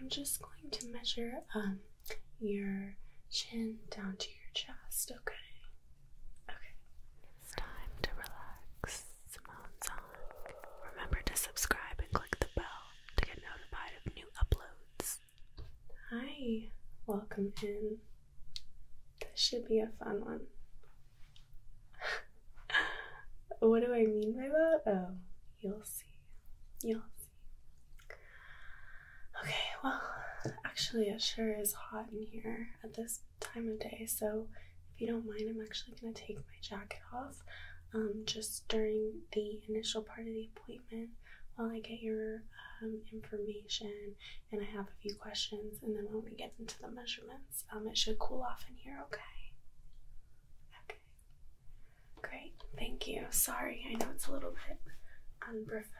I'm just going to measure um your chin down to your chest, okay? Okay. time to relax. Simone Remember to subscribe and click the bell to get notified of new uploads. Hi, welcome in. This should be a fun one. what do I mean by that? Oh, you'll see. You'll Okay, well, actually, it sure is hot in here at this time of day, so if you don't mind, I'm actually going to take my jacket off um, just during the initial part of the appointment while I get your um, information and I have a few questions, and then when we get into the measurements, um, it should cool off in here, okay? Okay. Great. Thank you. Sorry, I know it's a little bit unprofessional.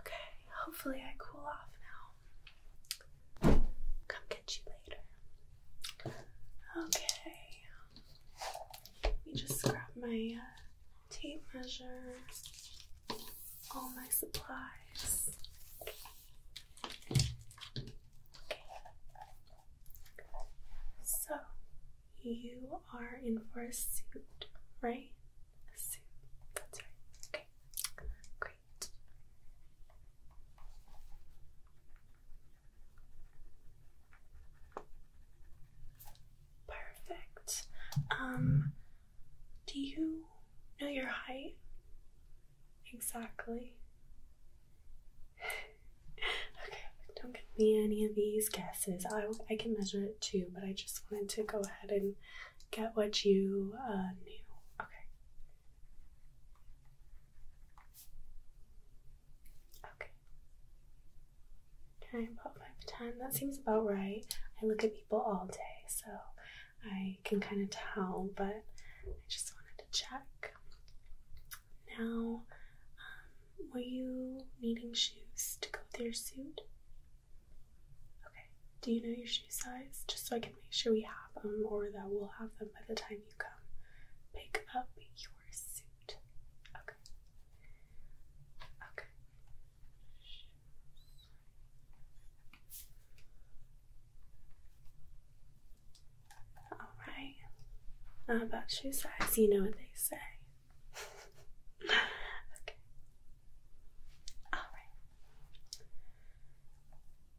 okay, hopefully I cool off now. Come get you later. Okay. Let me just grab my uh, tape measure all my supplies. Okay. So, you are in for a suit, right? A suit. That's right. Okay. Great. Perfect. Um do you know your height? Exactly. okay, don't give me any of these guesses. I, I can measure it too, but I just wanted to go ahead and get what you uh, knew. Okay. Okay. Can I my time? That seems about right. I look at people all day, so I can kind of tell, but I just wanted to check. Now, um, were you needing shoes to go with your suit? Okay. Do you know your shoe size? Just so I can make sure we have them or that we'll have them by the time you come pick up your suit. Okay. Okay. All right. about shoe size, you know what they say. okay. All right.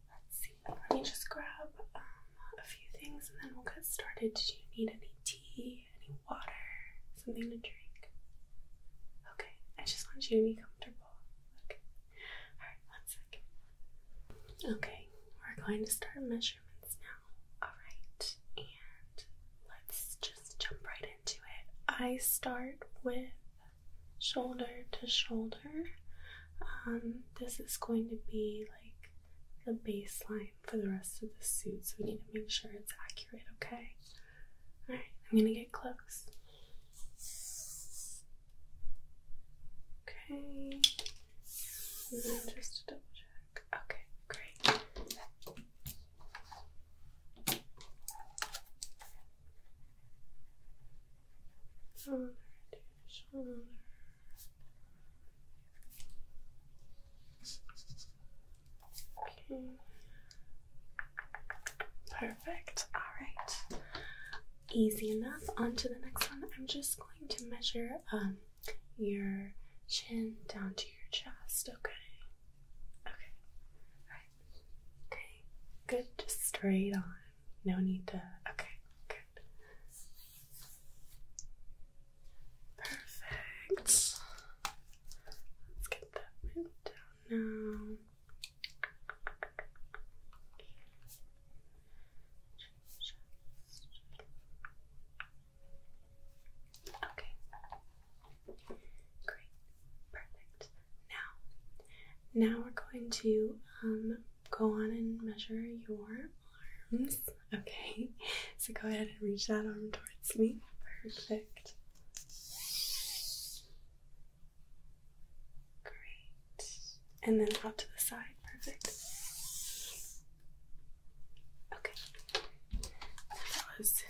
Let's see. Let me just grab um, a few things and then we'll get started. Do you need any tea, any water, something to drink? Okay. I just want you to be comfortable. Okay. Alright, one second. Okay, we're going to start measurements now. Alright, and let's just jump right into it. I start with shoulder to shoulder. Um, this is going to be like the baseline for the rest of the suit, so we need to make sure it's accurate, okay? Alright, I'm gonna get close. Okay. just to double check. Okay, great. Shoulder to shoulder. Okay. Perfect. All right. Easy enough. On to the next one. I'm just going to measure um, your chin down to your chest. Okay. Okay. All right. Okay. Good. straight on. No need to. Okay. Good. Perfect. Let's get that moved down now. Okay. Great. Perfect. Now, now we're going to um go on and measure your arms. Okay. So go ahead and reach that arm towards me. Perfect. Great. And then out to the side. Perfect. Okay. That was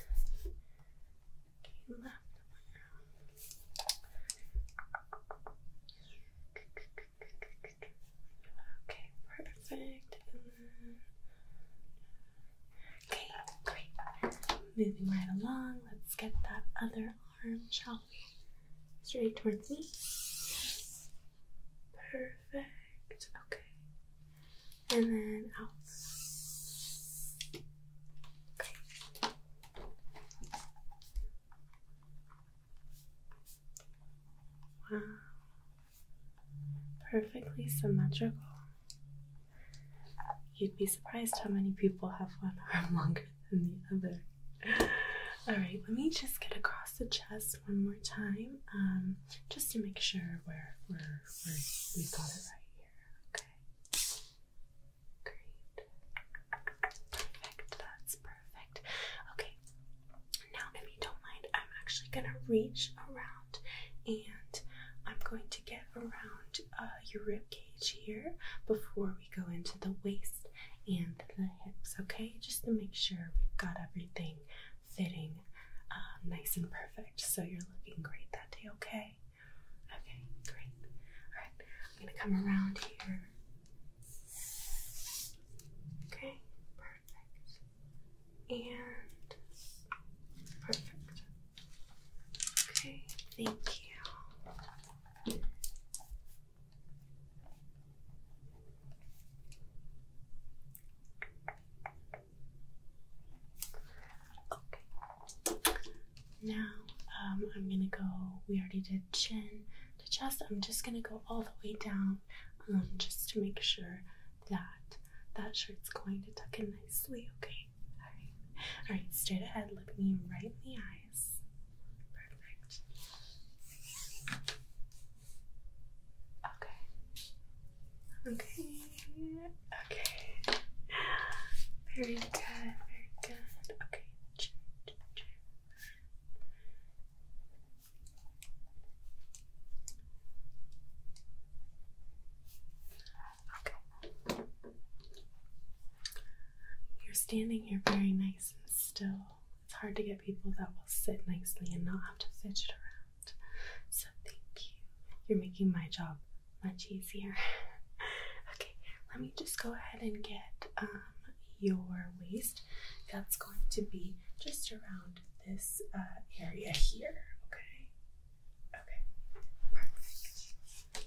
Okay, perfect. Okay, great. Moving right along, let's get that other arm, shall we? Straight towards me. Perfect. Okay. And then out. Great. Wow. Perfectly symmetrical. You'd be surprised how many people have one arm longer than the other. All right, let me just get across the chest one more time, um, just to make sure we're, we're, we're we got it right here. Okay, great, perfect. That's perfect. Okay, now if you don't mind, I'm actually gonna reach around, and I'm going to get around uh, your rib cage here before we go into the waist and the hips, okay? Just to make sure we've got everything fitting uh, nice and perfect. So you're looking great that day, okay? Okay, great. All right, I'm gonna come around here. Okay, perfect. And perfect. Okay, thank you. Okay. Now, um, I'm gonna go. We already did chin to chest. I'm just gonna go all the way down, um, just to make sure that that shirt's going to tuck in nicely. Okay. All right. Straight ahead. Look me right in the eyes. Perfect. Okay. Okay. Okay. Very good. Very good. Okay. Okay. You're standing here very nice and still. It's hard to get people that will sit nicely and not have to fidget around. So thank you. You're making my job much easier. okay, let me just go ahead and get um, your waist. That's going to be just around this uh, area here. Okay. Okay, perfect.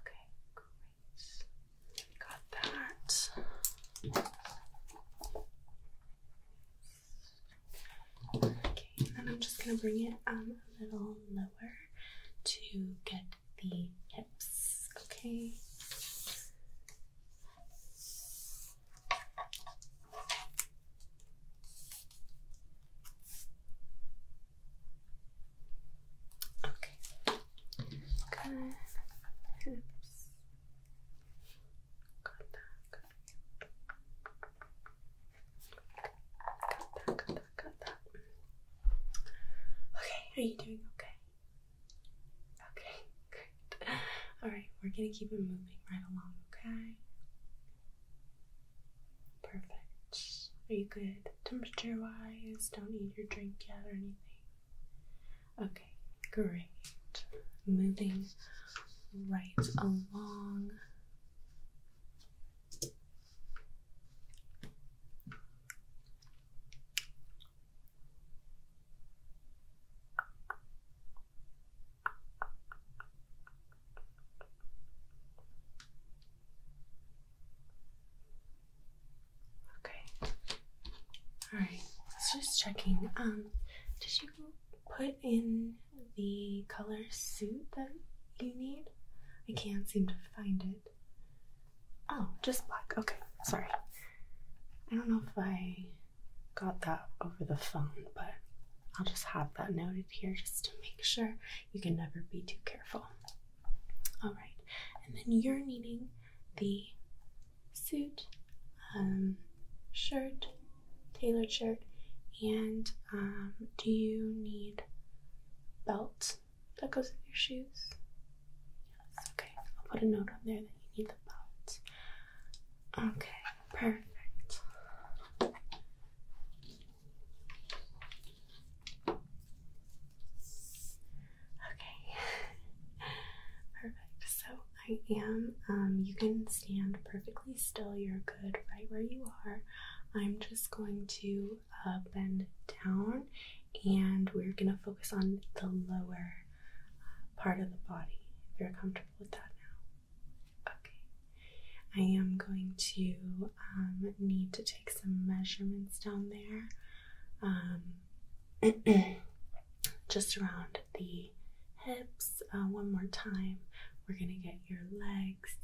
Okay, great. got that. Okay, and I'm just gonna bring it um a little lower to get the hips. Okay. Okay. Good. Oops. Got that. Got that. Got that. Got that. Got that. Okay. Are you doing okay? Okay. All right, we're gonna keep it moving right along, okay? Perfect. Are you good? Temperature wise, don't need your drink yet or anything. Okay, great. Moving right along. Okay. All right. Let's just checking. Um, did you put in the color suit that you need? I can't seem to find it. Oh, just black. Okay. Sorry. I don't know if I got that over the phone, but I'll just have that noted here just to make sure you can never be too careful. All right, and then you're needing the suit, um, shirt, tailored shirt, and um, do you need belt that goes with your shoes? Yes, okay. I'll put a note on there that you need the belt. Okay, perfect. Okay, perfect. So I am, um, you can stand perfectly still. You're good right where you are. I'm just going to uh, bend down and we're going to focus on the lower uh, part of the body if you're comfortable Okay. I am going to um, need to take some measurements down there, um, just around the hips. Uh, one more time, we're gonna get your legs,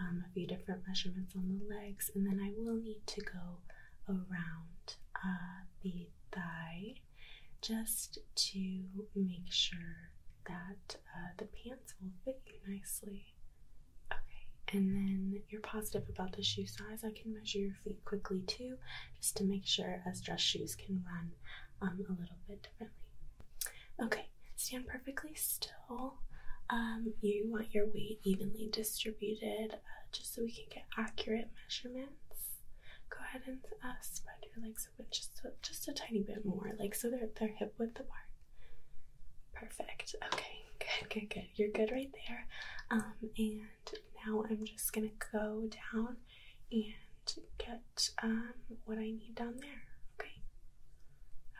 um, a few different measurements on the legs, and then I will need to go around uh, the thigh just to make sure that uh, the pants will fit you nicely. Okay, and then you're positive about the shoe size. I can measure your feet quickly too, just to make sure as dress shoes can run um, a little bit differently. Okay, stand perfectly still. Um, you want your weight evenly distributed uh, just so we can get accurate measurements, go ahead and uh, spread your legs open just just a tiny bit more, like so they're they're hip width apart. Perfect. Okay, good, good, good. You're good right there. Um, and now I'm just gonna go down and get um what I need down there. Okay.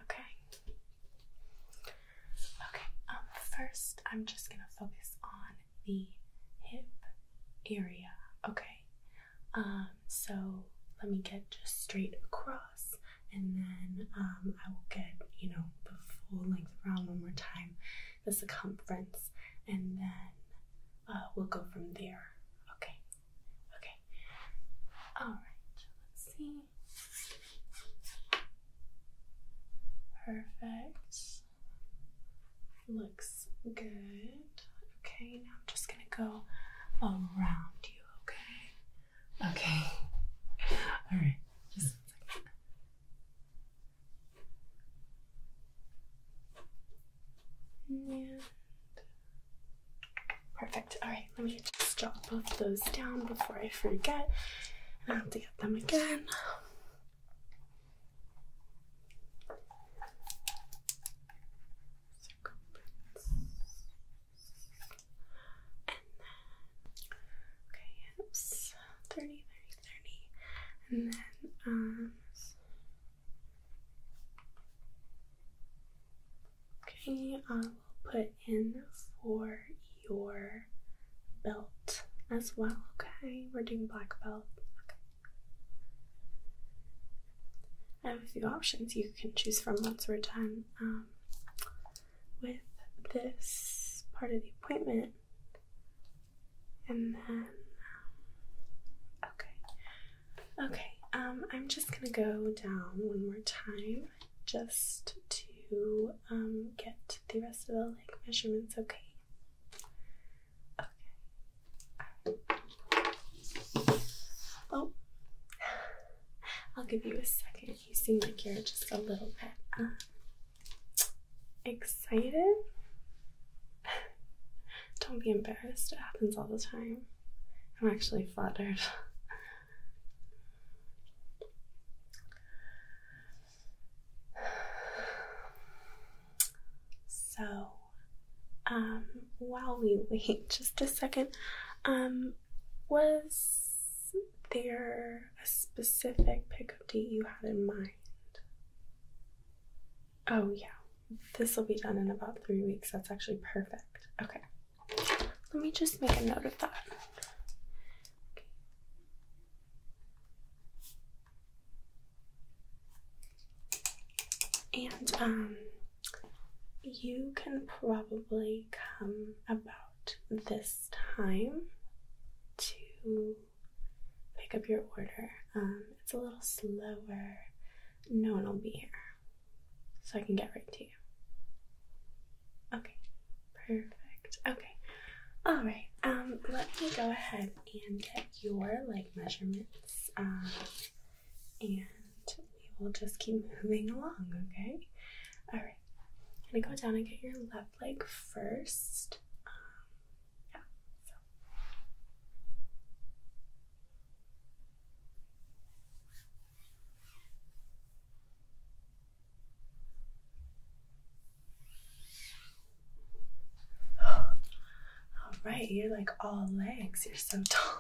Okay. Okay. Um, first I'm just gonna focus on the hip area. Okay, um, so let me get just straight across and then um, I will get, you know, the full length around one more time, the circumference, and then uh, we'll go from there. Okay, okay. All right, let's see. Perfect. Looks good. Okay, now I'm just gonna go around you, okay? Okay. Alright, just one second. And perfect. Alright, let me just jot both those down before I forget. And I have to get them again. Um, okay, yes, 30, and then um. Okay, I will put in for your belt as well. Okay, we're doing black belt. Okay. I have a few options you can choose from once we're done um, with this part of the appointment. And then, um, okay, okay, um, I'm just gonna go down one more time just to get the rest of the leg measurements okay. Okay. Oh, I'll give you a second. You seem like you're just a little bit uh, excited. Don't be embarrassed, it happens all the time. I'm actually flattered. so, um, while we wait just a second, um, was there a specific pickup date you had in mind? Oh, yeah. This will be done in about three weeks. That's actually perfect. Okay. Let me just make a note of that. Okay. And um, you can probably come about this time to pick up your order. Um, it's a little slower. No one will be here, so I can get right to you. Okay, perfect. Okay, all right. Um, let me go ahead and get your leg measurements. Uh, and we will just keep moving along, okay? alright I'm gonna go down and get your left leg first. Um, yeah all right, you're like all legs. You're so tall.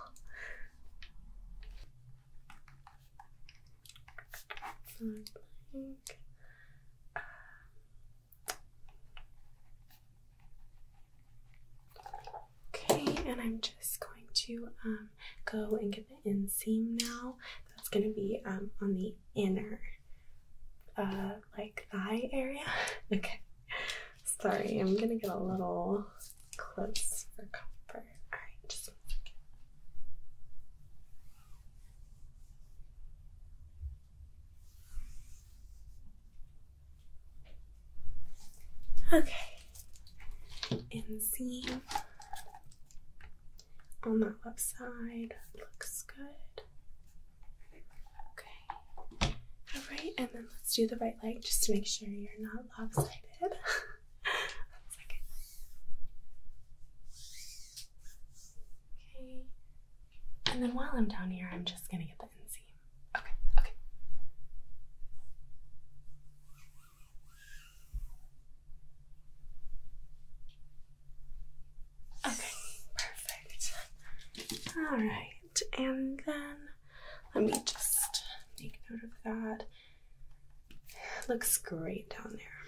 okay, and I'm just going to um, go and get the inseam now. That's going to be um, on the inner uh, like thigh area. okay. Sorry, I'm gonna get a little close for comfort. Alright, just one second. Okay, inseam on that left side looks good. Okay. Alright, and then let's do the right leg just to make sure you're not lopsided. Okay. And then while I'm down here, I'm just gonna get the inseam. Okay, okay. Okay, perfect. All right, and then let me just make note of that. looks great down there.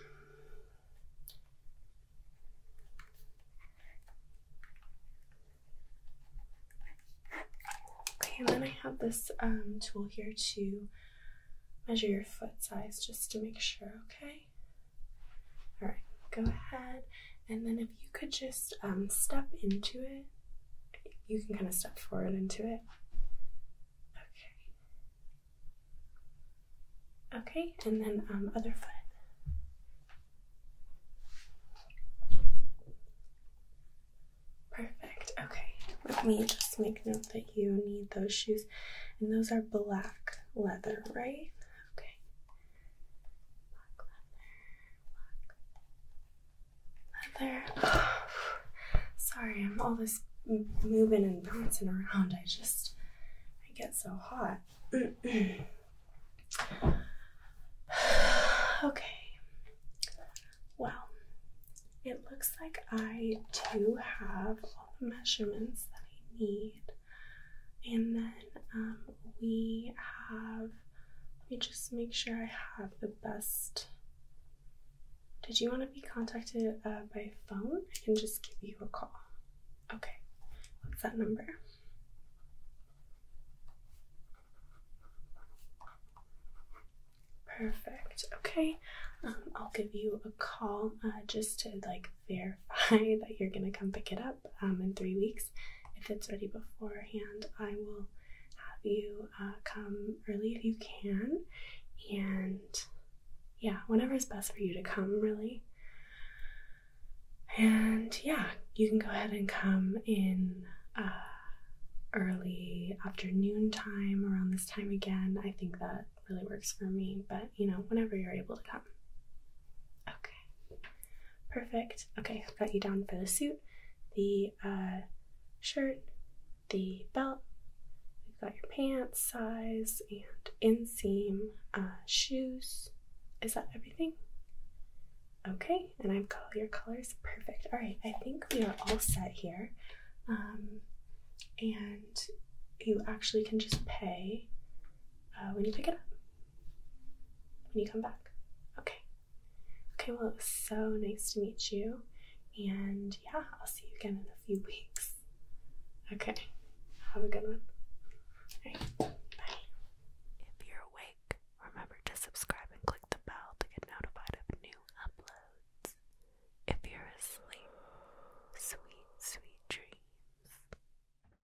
Okay, and then I have this um, tool here to measure your foot size just to make sure, okay? All right, go ahead. And then if you could just um, step into it, you can kind of step forward into it. Okay. Okay, and then um, other foot. Perfect. Okay, let me just make note that you need those shoes. And those are black leather, right? Okay. Black leather, Sorry, I'm all this moving and bouncing around. I just, I get so hot. okay. Well, it looks like I do have all the measurements that I need. And then um, we have, let me just make sure I have the best. Did you want to be contacted uh, by phone? I can just give you a call. Okay, what's that number? Perfect. Okay, um, I'll give you a call uh, just to like verify that you're going to come pick it up um, in three weeks. If it's ready beforehand, I will have you uh, come early if you can. And yeah, whenever is best for you to come, really. And yeah, you can go ahead and come in uh, early afternoon time around this time again. I think that really works for me, but you know, whenever you're able to come. Okay. Perfect. Okay, I've got you down for the suit, the uh, shirt, the belt. We've got your pants size and inseam, uh, shoes. Is that everything? Okay, and I've got your colors. Perfect. All right, I think we are all set here. Um, and you actually can just pay uh, when you pick it up when you come back. Okay. Okay, well, it was so nice to meet you. And yeah, I'll see you again in a few weeks. Okay. Have a good one. Bye. If you're awake, remember to subscribe and click the bell to get notified of new uploads. If you're asleep, sweet, sweet dreams.